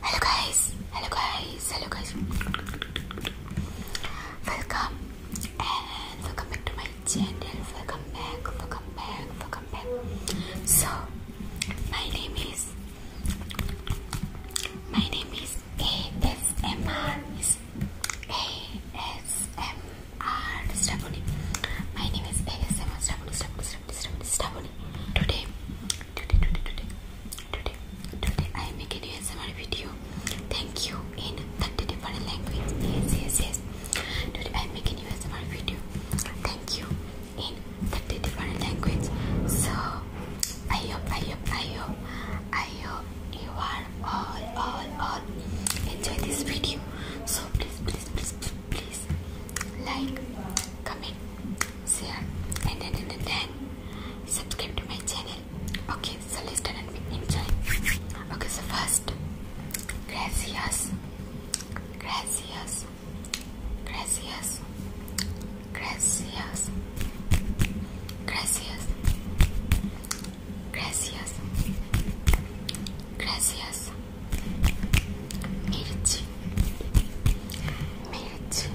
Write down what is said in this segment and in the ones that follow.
Hello guys, hello guys, hello guys. Welcome and welcome back to my channel. Welcome back, welcome back, welcome back. So my name is my name is ASMR is ASMR Stephanie. My name is ASMR Stephanie Stephanie Today, today, today, today, today, today, I am making an ASMR video. Thank you in 30 different languages. Yes, yes, yes. Today, I am making an ASMR video. Thank you in 30 different languages. So, I hope, I hope, you are all, all, all enjoy this video. So, please, please, please please like, comment, share, and then then, then subscribe to my channel. Okay, so listen and enjoy. Okay, so first, gracias, gracias, gracias, gracias, gracias, Gracias. Gracias. Merci. Merci.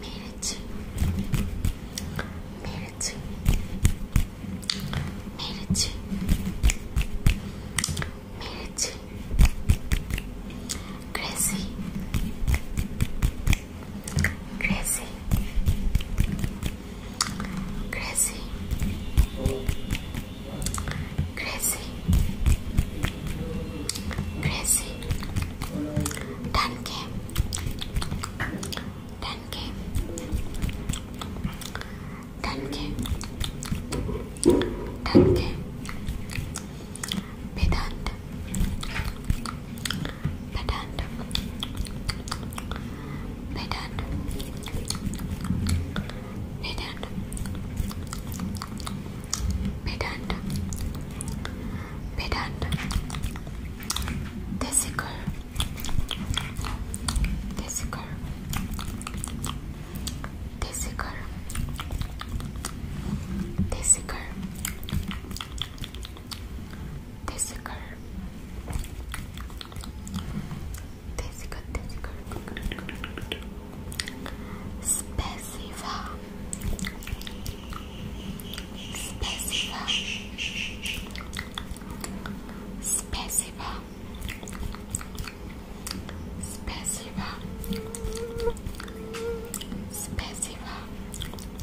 Merci. Merci. Merci. Merci. Gracie. Gracie. Crazy. Crazy. Crazy. 10k. 10k. 10k. 10k. Vedant pedant pedant pedant pedant pedant testicle testicle testicle testicle Tessiker. Tessiker, Tessiker. Spesiva. Spesiva. Spesiva. Spesiva. Spesiva.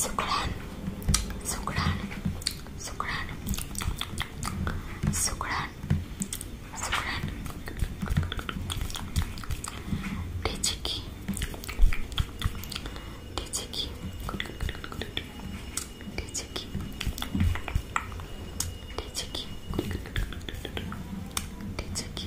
Sukran, Sukran, Sukran, Sukran, Sukran, Dechiki, Dechiki, Dechiki, Dechiki, Dechiki,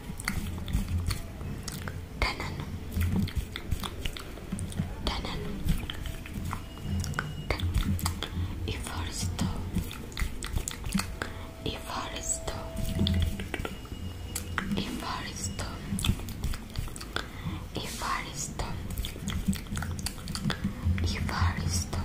tenon tenon e foresto e foresto e foresto e foresto e foresto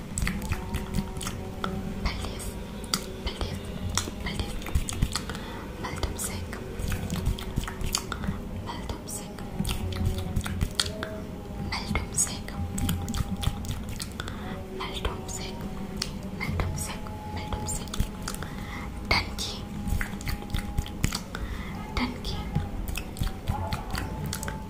Maldives, Maldives, Maldives, Maldives, Maldives, Maldives, Maldives, Maldives, Maldives, Tanki, Tanki, Tanki,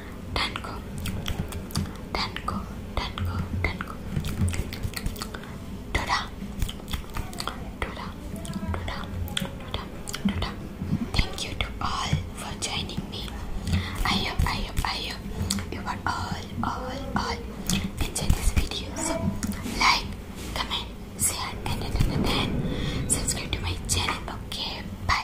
Danko, Danko, Danko, Danko. Doda, Doda, Doda, Doda, Doda. Thank you to all for joining me. I hope, I hope, I hope you all, all, all enjoy this video. So like, comment, share, and, and, and, and subscribe to my channel. Okay, bye.